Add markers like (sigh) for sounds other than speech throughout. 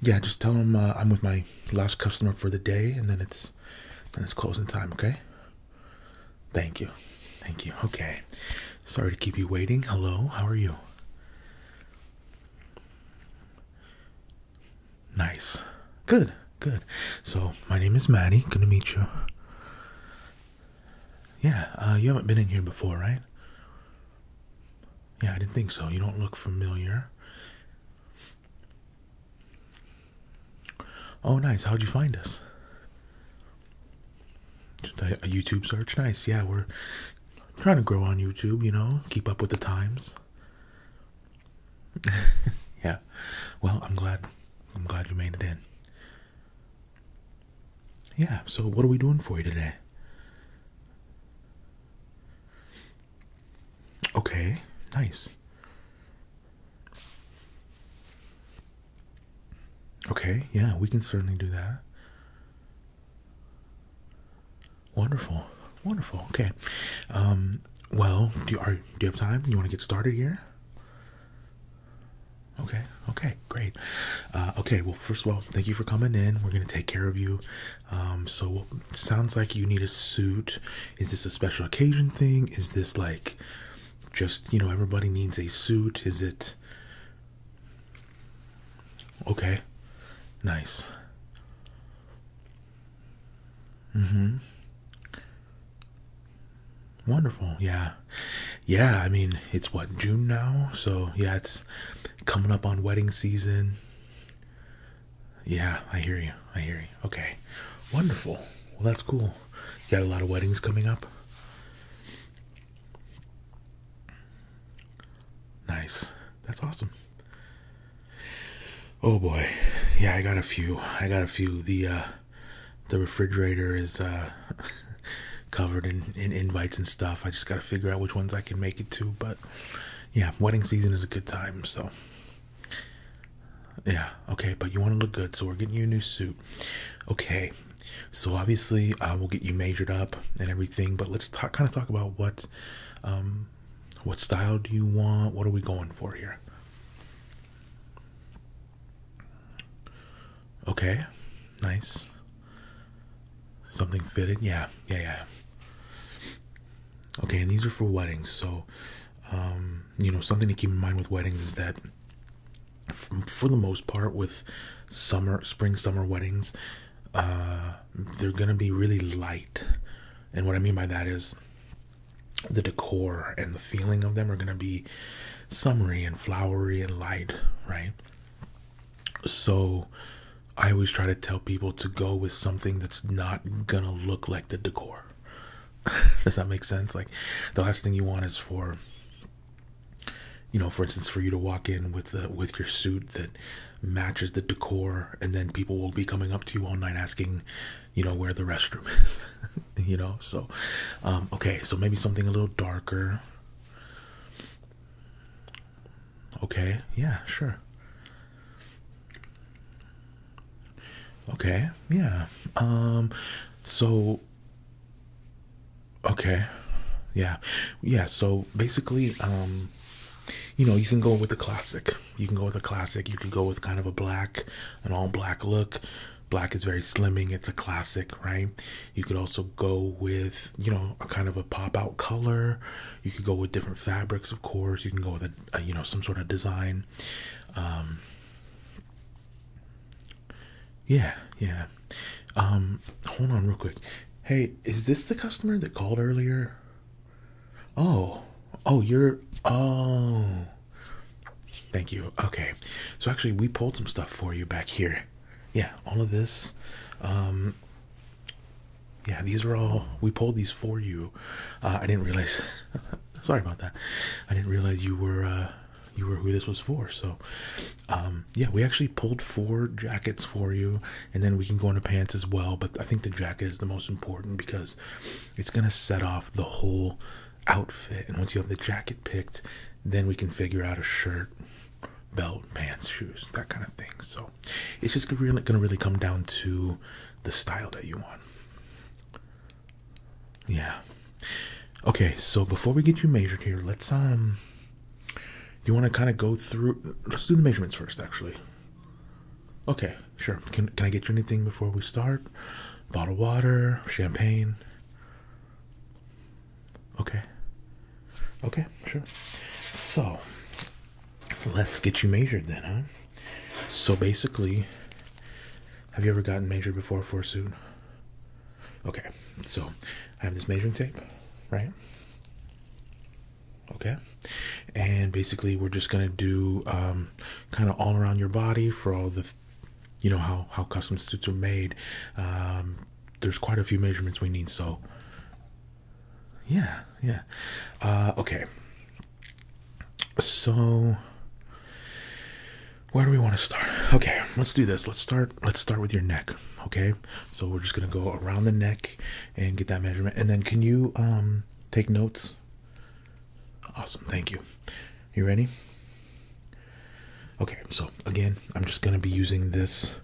Yeah, just tell them uh, I'm with my last customer for the day, and then it's then it's closing time. Okay. Thank you, thank you. Okay. Sorry to keep you waiting. Hello, how are you? Nice. Good. Good. So my name is Maddie. Good to meet you. Yeah, uh, you haven't been in here before, right? Yeah, I didn't think so. You don't look familiar. Oh, nice. How'd you find us? a YouTube search. Nice. Yeah, we're trying to grow on YouTube, you know, keep up with the times. (laughs) yeah. Well, I'm glad I'm glad you made it in. Yeah, so what are we doing for you today? Okay, nice. Okay, yeah, we can certainly do that. Wonderful, wonderful. Okay, um, well, do you, are, do you have time? You want to get started here? Okay, okay, great. Uh, okay, well, first of all, thank you for coming in. We're gonna take care of you. Um, so sounds like you need a suit. Is this a special occasion thing? Is this like just you know everybody needs a suit? Is it okay? Nice. Mm-hmm. Wonderful. Yeah. Yeah, I mean, it's what June now, so yeah, it's coming up on wedding season. Yeah, I hear you. I hear you. Okay. Wonderful. Well, that's cool. You got a lot of weddings coming up? Nice. That's awesome. Oh boy. Yeah, I got a few. I got a few. The uh the refrigerator is uh (laughs) covered in, in invites and stuff. I just got to figure out which ones I can make it to, but yeah, wedding season is a good time. So yeah, okay, but you want to look good, so we're getting you a new suit. Okay, so obviously I will get you measured up and everything, but let's kind of talk about what, um, what style do you want? What are we going for here? Okay, nice. Something fitted? Yeah, yeah, yeah. Okay, and these are for weddings. So, um, you know, something to keep in mind with weddings is that, for the most part, with summer, spring, summer weddings, uh, they're gonna be really light. And what I mean by that is the decor and the feeling of them are gonna be summery and flowery and light, right? So I always try to tell people to go with something that's not gonna look like the decor. (laughs) Does that make sense? Like the last thing you want is for you know, for instance, for you to walk in with the with your suit that matches the decor, and then people will be coming up to you all night asking, you know, where the restroom (laughs) is. you know, so um, okay, so maybe something a little darker. Okay, yeah, sure. Okay, yeah. Um so okay. Yeah. Yeah, so basically um you know, you can go with the classic. You can go with a classic. You could go with kind of a black, an all black look. Black is very slimming. It's a classic, right? You could also go with, you know, a kind of a pop out color. You could go with different fabrics, of course. You can go with a, you know, some sort of design. Um, yeah, yeah. Um, hold on real quick. Hey, is this the customer that called earlier? Oh, oh, you're, oh. Thank you. Okay. So actually, we pulled some stuff for you back here yeah all of this um, yeah these are all we pulled these for you uh, i didn't realize (laughs) sorry about that i didn't realize you were uh, you were who this was for so um, yeah we actually pulled four jackets for you and then we can go into pants as well but i think the jacket is the most important because it's gonna set off the whole outfit and once you have the jacket picked then we can figure out a shirt belt, pants, shoes, that kind of thing. So it's just really going to really come down to the style that you want. Yeah. Okay, so before we get you measured here, let's um you want to kind of go through let's do the measurements first actually. Okay, sure. Can can I get you anything before we start? Bottle water, champagne. Okay. Okay, sure. So let's get you measured then, huh? So basically, have you ever gotten measured before for suit? Okay, so I have this measuring tape, right? Okay, and basically we're just gonna do um, kind of all around your body for all the, you know how how custom suits are made, um, there's quite a few measurements we need, so yeah, yeah. Uh, okay, so where do we want to start? Okay, let's do this. Let's start. Let's start with your neck. Okay, so we're just gonna go around the neck and get that measurement, and then can you um, take notes? Awesome, thank you. You ready? Okay, so again, I'm just gonna be using this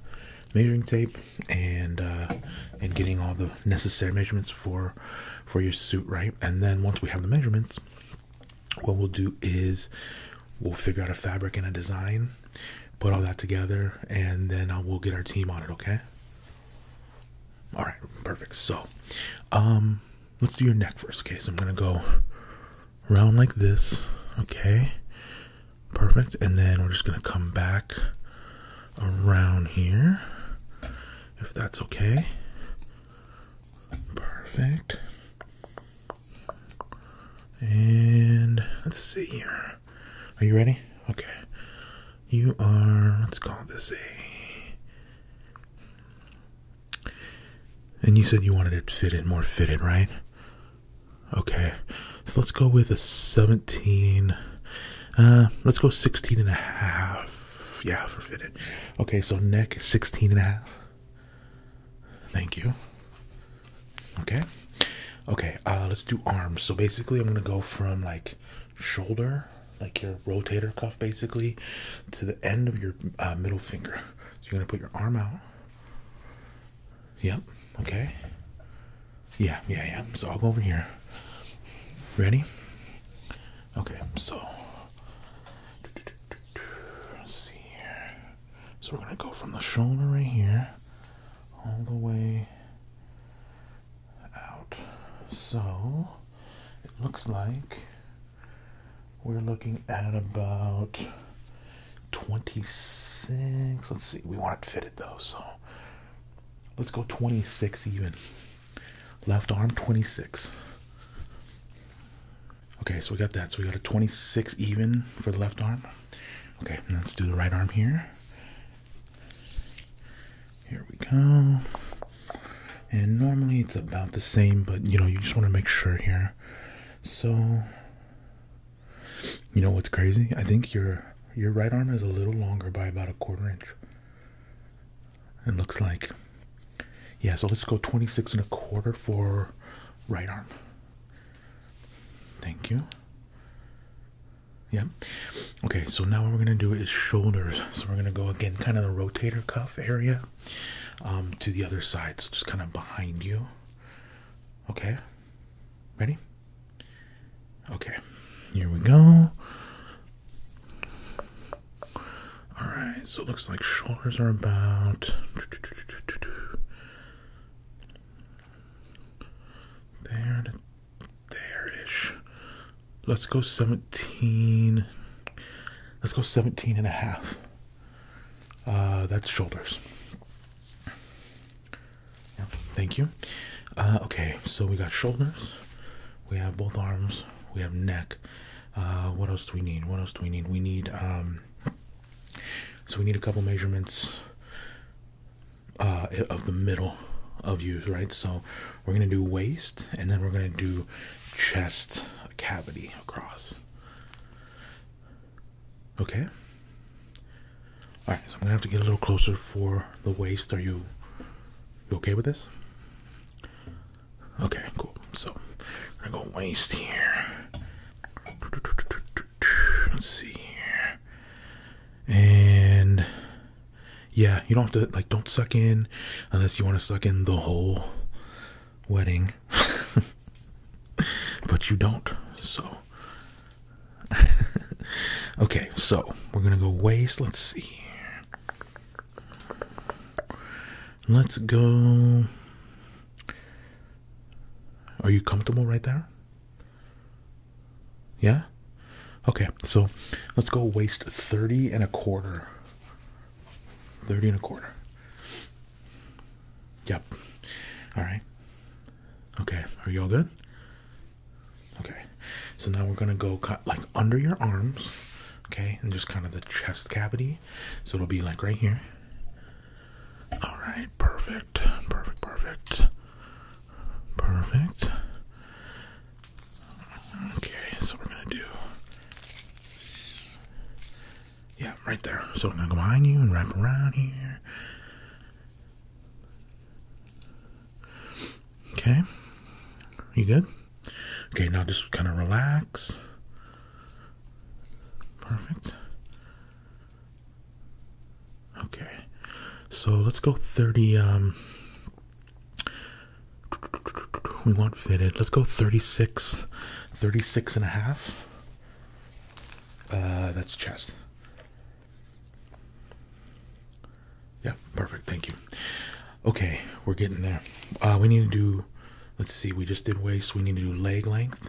measuring tape and uh, and getting all the necessary measurements for for your suit, right? And then once we have the measurements, what we'll do is we'll figure out a fabric and a design, put all that together, and then uh, we'll get our team on it. Okay. All right, perfect. So, um, let's do your neck first. Okay, so I'm gonna go Around like this. Okay, perfect. And then we're just gonna come back around here, if that's okay. Perfect. And let's see here. Are you ready? Okay. You are, let's call this a. And you said you wanted it fitted, more fitted, right? Okay, so let's go with a 17. Uh, let's go 16 and a half. Yeah, for fitted. Okay, so neck 16 and a half. Thank you. Okay. Okay, uh, let's do arms. So basically, I'm going to go from like shoulder, like your rotator cuff, basically, to the end of your uh, middle finger. So you're going to put your arm out. Yep. Okay. Yeah, yeah, yeah. So I'll go over here. Ready? Okay, so let's see here. So we're gonna go from the shoulder right here all the way out. So it looks like we're looking at about 26. Let's see. We want it fitted though, so let's go 26 even. Left arm 26. Okay, so we got that. So we got a 26 even for the left arm. Okay, let's do the right arm here. Here we go. And normally it's about the same, but you know, you just want to make sure here. So you know what's crazy? I think your your right arm is a little longer by about a quarter inch. It looks like. Yeah, so let's go 26 and a quarter for right arm. Thank you. Yeah. Okay, so now what we're gonna do is shoulders. So we're gonna go again, kind of the rotator cuff area, um, to the other side. So just kind of behind you. Okay. Ready? Okay. Here we go. All right. So it looks like shoulders are about there there ish. Let's go 17. Let's go 17 and a half. Uh, that's shoulders. Yeah, thank you. Uh, okay, so we got shoulders. We have both arms. We have neck. Uh, what else do we need? What else do we need? We need um. So we need a couple measurements. Uh, of the middle of you, right? So we're gonna do waist, and then we're gonna do chest cavity across. Okay. All right, so I'm gonna have to get a little closer for the waist. Are you, you okay with this? Okay, cool. So I'm gonna go waist here. Let's see here, and yeah, you don't have to like don't suck in unless you want to suck in the whole wedding, (laughs) but you don't. So, (laughs) okay, so we're gonna go waste. Let's see. Let's go. Are you comfortable right there? Yeah? Okay, so let's go waste 30 and a quarter. 30 and a quarter. Yep. All right. Okay. Are you all good? Okay. So now we're going to go cut like under your arms. Okay. And just kind of the chest cavity. So it'll be like right here. All right. Perfect. Perfect. Perfect. Perfect. Okay. So we're going to do yeah, right there. So I'm gonna go behind you and wrap around here. Okay, you good? Okay, now just kind of relax. Perfect. Okay, so let's go 30. Um, we want fitted. Let's go 36, 36 and a half. Uh, that's chest. Yeah, perfect. Thank you. Okay, we're getting there. Uh, we need to do, let's see, we just did waist. We need to do leg length.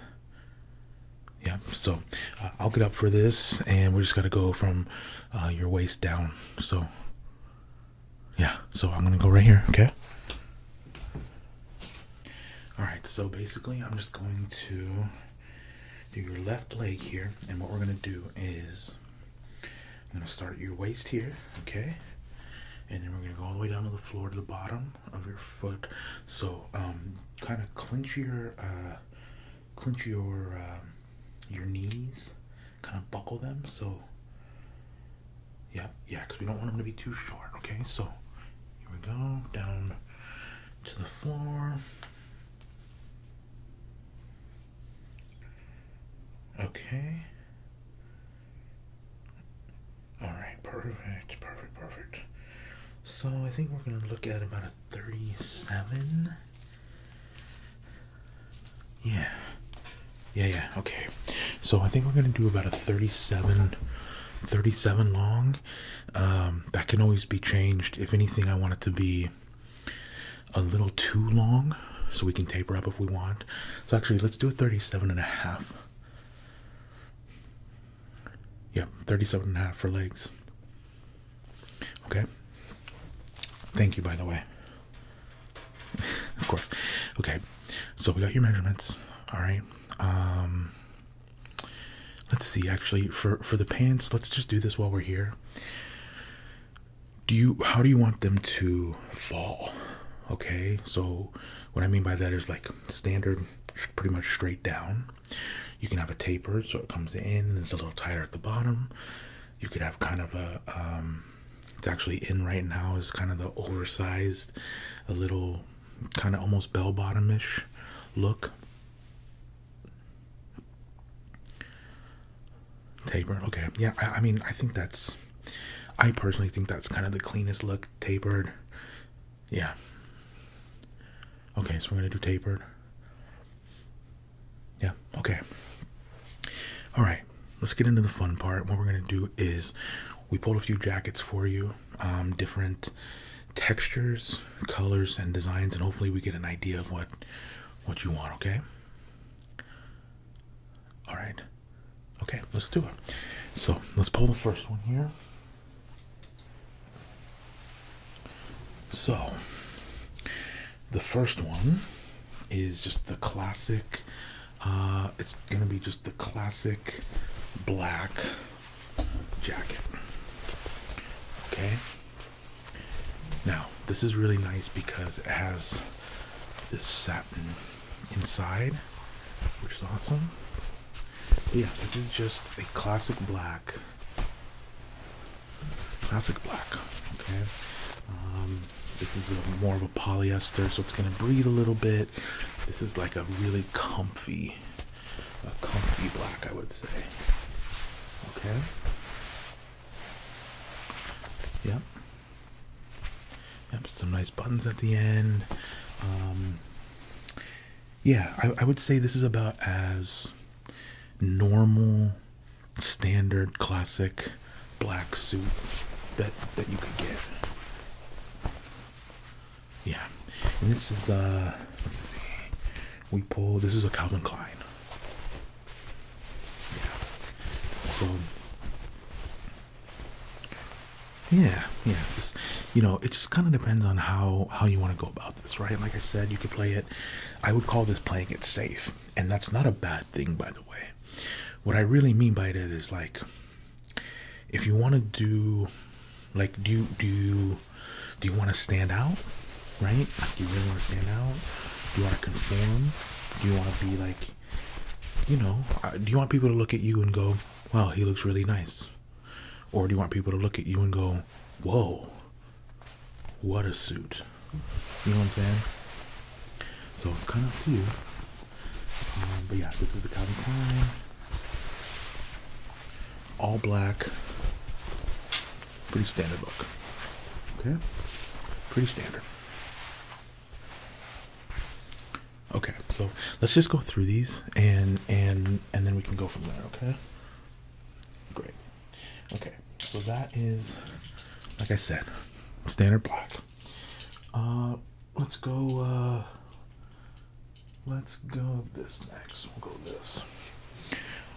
Yeah, so uh, I'll get up for this, and we are just going to go from uh, your waist down. So, yeah, so I'm going to go right here, okay? Alright, so basically, I'm just going to do your left leg here, and what we're going to do is I'm going to start at your waist here, okay? And then we're going to go all the way down to the floor to the bottom of your foot. So, um, kind of clench your, uh, clench your, um, your knees, kind of buckle them. So, yeah, yeah, because we don't want them to be too short, okay? So here we go, down to the floor. Okay. Alright, perfect, perfect, perfect. So I think we're gonna look at about a 37. Yeah. Yeah, yeah, okay. So I think we're gonna do about a 37 37 long um, that can always be changed if anything i want it to be a little too long so we can taper up if we want so actually let's do 37 and a half Yep, 37 and a half for legs okay thank you by the way (laughs) of course okay so we got your measurements all right um, let's see. Actually, for for the pants, let's just do this while we're here. Do you? How do you want them to fall? Okay. So what I mean by that is like standard, pretty much straight down. You can have a taper, so it comes in and it's a little tighter at the bottom. You could have kind of a. Um, it's actually in right now. Is kind of the oversized, a little kind of almost bell bottomish look. Tapered, okay, yeah. I, I mean, I think that's. I personally think that's kind of the cleanest look. Tapered, yeah. Okay, so we're gonna do tapered. Yeah, okay. All right, let's get into the fun part. What we're gonna do is we pulled a few jackets for you um, different textures, colors, and designs, and hopefully we get an idea of what what you want. Okay. All right. Okay, let's do it. So let's pull the first one here. So the first one is just the classic uh, it's gonna be just the classic black jacket. Okay. Now this is really nice because it has this satin inside, which is awesome. yeah, this is just a classic black. Classic black. Okay. Um, this is more of a polyester, so it's gonna breathe a little bit. This is like a really comfy, a comfy black, I would say. Okay. Yep. Yep. Some nice buttons at the end. Um, yeah, I would say this is about as normal, standard, classic black suit that that you could get. Yeah, and this is uh, we pull. This is a Calvin Klein. Yeah. So. Yeah, yeah. Just, you know, it just kind of depends on how how you want to go about this, right? Like I said, you could play it. I would call this playing it safe, and that's not a bad thing, by the way. What I really mean by that is like if you want to do like do you do do you want to stand out right do you really want to stand out do you want to conform do you want to be like you know uh, do you want people to look at you and go wow he looks really nice or do you want people to look at you and go whoa what a suit you know what i'm saying so kind of to you um, but yeah, this is the Calvin Klein. All black. Pretty standard look. Okay? Pretty standard. Okay, so let's just go through these and and and then we can go from there, okay? Great. Okay, so that is like I said, standard black. Uh, let's go. Uh, let's go this next. We'll go this.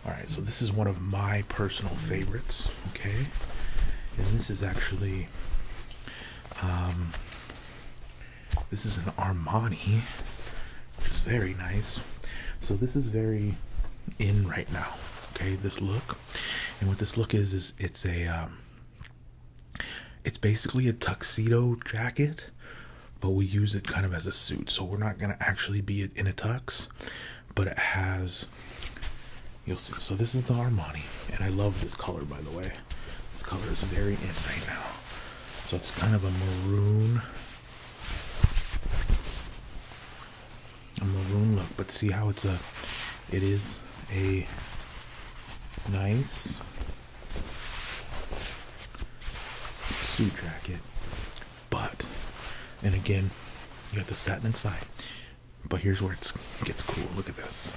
All right. So this is one of my personal favorites. Okay, and this is actually. Um, this is an Armani, which is very nice. So this is very in right now. Okay, this look, and what this look is is it's a um, it's basically a tuxedo jacket, but we use it kind of as a suit. So we're not going to actually be in a tux, but it has. You'll see. So this is the Armani, and I love this color, by the way. This color is very in right now. So it's kind of a maroon, a maroon look. But see how it's a, it is a Nice suit jacket. But, and again, you have the satin inside. But here's where it gets cool. Look at this.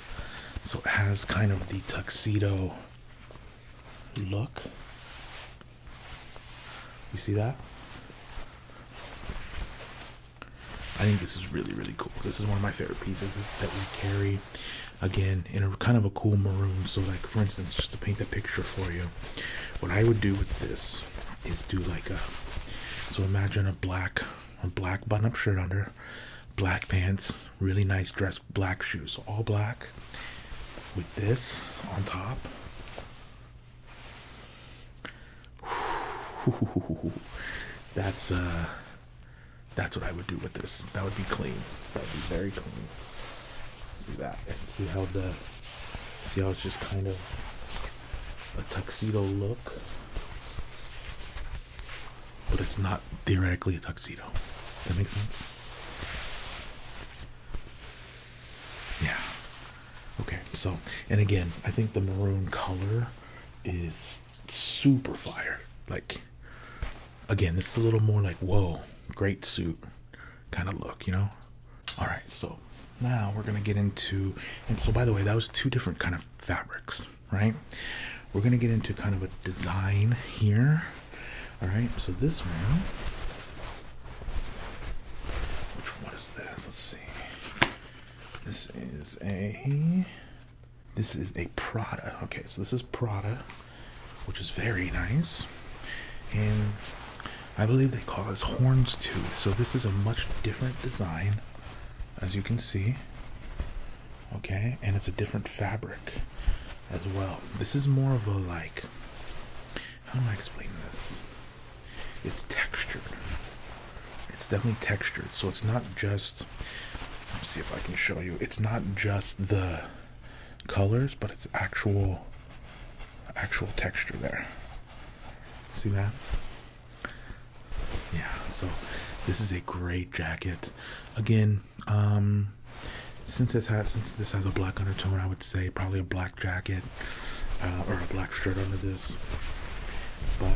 So it has kind of the tuxedo look. You see that? I think this is really really cool. This is one of my favorite pieces that we carry. Again, in a kind of a cool maroon. So, like for instance, just to paint the picture for you, what I would do with this is do like a. So imagine a black, a black button-up shirt under, black pants, really nice dress, black shoes, all black. With this on top. (laughs) That's uh that's what I would do with this. That would be clean. That would be very clean. See that? And see how the see how it's just kind of a tuxedo look. But it's not theoretically a tuxedo. Does that make sense? Yeah. Okay, so and again, I think the maroon color is super fire. Like, again, this is a little more like, whoa, great suit kind of look, you know? All right, so now we're gonna get into, so by the way, that was two different kind of fabrics, right? We're gonna get into kind of a design here. All right, so this one, which one is this? Let's see. This is a this is a Prada. Okay, so this is Prada, which is very nice. And I believe they call this horns too. So this is a much different design, as you can see. Okay, and it's a different fabric as well. This is more of a like, how do I explain this? It's textured. It's definitely textured, so it's not just. let me see if I can show you. It's not just the colors, but it's actual, actual texture there. See that? Yeah. So this is a great jacket. Again, um, since this has since this has a black undertone, I would say probably a black jacket uh, or a black shirt under this. But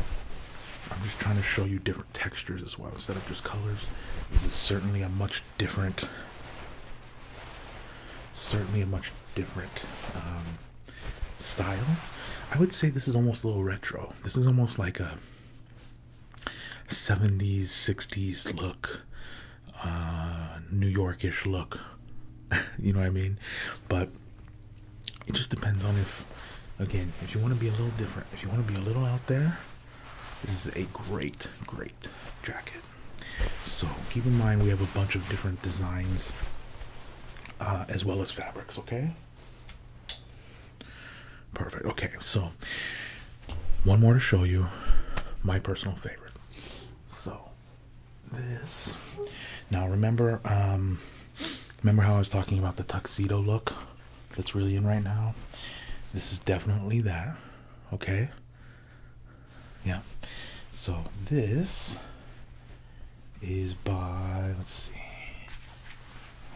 I'm just trying to show you different textures as well instead of just colors. This is certainly a much different, certainly a much different um, style. I would say this is almost a little retro. This is almost like a 70s, 60s look, uh, New Yorkish look. (laughs) you know what I mean? But it just depends on if again if you want to be a little different if you want to be a little out there this is a great great jacket so keep in mind we have a bunch of different designs uh, as well as fabrics okay perfect okay so one more to show you my personal favorite so this now remember um, Remember how I was talking about the tuxedo look that's really in right now? This is definitely that. Okay? Yeah. So this is by, let's see,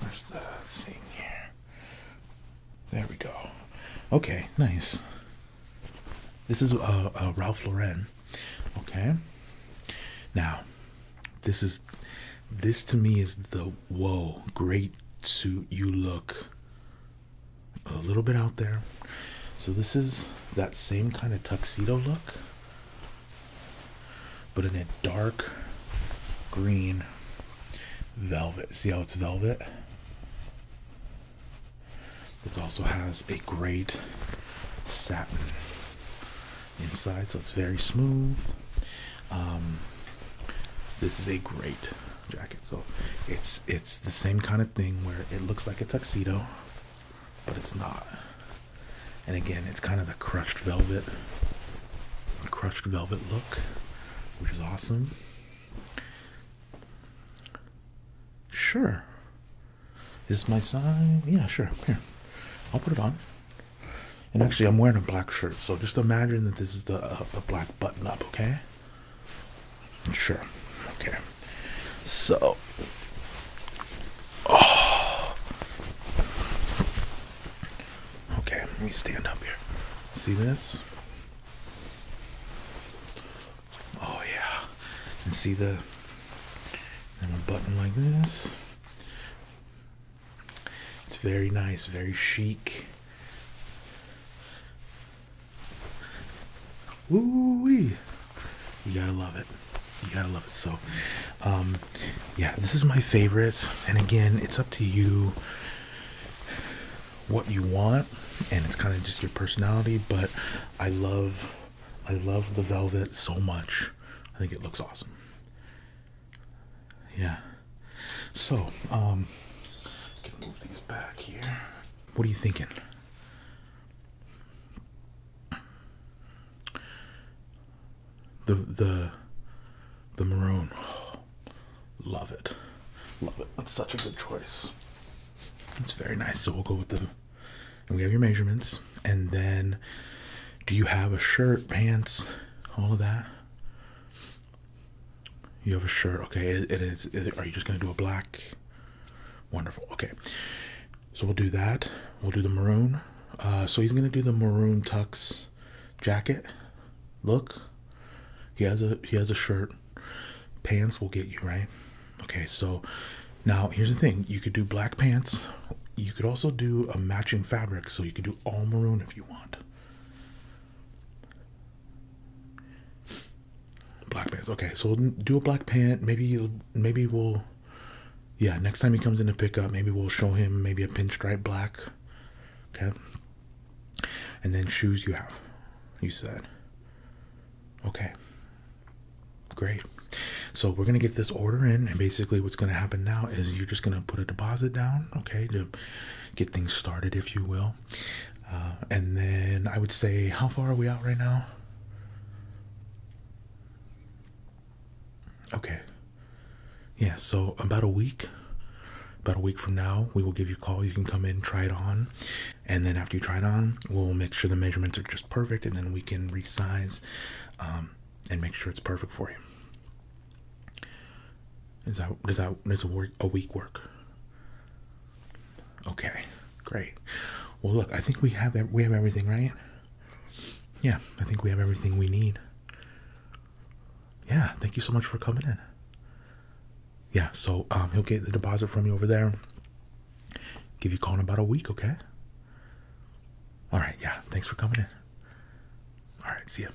where's the thing There we go. Okay, nice. This is a uh, uh, Ralph Lauren. Okay. Now, this is this to me is the whoa, great suit you look a little bit out there. So this is that same kind of tuxedo look, but in a dark green velvet. See how it's velvet? This also has a great satin inside, so it's very smooth. Um, this is a great jacket. So it's it's the same kind of thing where it looks like a tuxedo, but it's not. And again, it's kind of the crushed velvet, crushed velvet look, which is awesome. Sure. Is my sign? Yeah, sure. Here. I'll put it on. And actually, I'm wearing a black shirt, so just imagine that this is a black button up, okay? Sure, okay. So, oh. okay, let me stand up here. See this? Oh, yeah, and see the and a button like this. It's very nice, very chic. Ooh we, You gotta love it. You gotta love it. So, um, yeah, this is my favorite. And again, it's up to you what you want, and it's kind of just your personality. But I love, I love the velvet so much. I think it looks awesome. Yeah. So, can um, move these back here. What are you thinking? The the the maroon. (gasps) love it. Love it. That's such a good choice. It's very nice. So we'll go with the and we have your measurements and then do you have a shirt pants all of that you have a shirt okay it is are you just gonna do a black wonderful okay so we'll do that we'll do the maroon uh, so he's gonna do the maroon tux jacket look he has a he has a shirt pants will get you right okay so now, here's the thing you could do black pants, you could also do a matching fabric, so you could do all maroon if you want. Black pants, okay, so do a black pant. Maybe, maybe we'll, yeah, next time he comes in to pick up, maybe we'll show him maybe a pinstripe black, okay. And then shoes you have, you said. Okay great so we're gonna get this order in and basically what's gonna happen now is you're just gonna put a deposit down okay to get things started if you will uh, and then i would say how far are we out right now okay yeah so about a week about a week from now we will give you a call you can come in try it on and then after you try it on we'll make sure the measurements are just perfect and then we can resize um, and make sure it's perfect for you. Is that does that is a work a week work? Okay, great. Well, look, I think we have we have everything, right? Yeah, I think we have everything we need. Yeah, thank you so much for coming in. Yeah, so um, he'll get the deposit from you over there. Give you call in about a week, okay? All right, yeah, thanks for coming in. All right, see ya.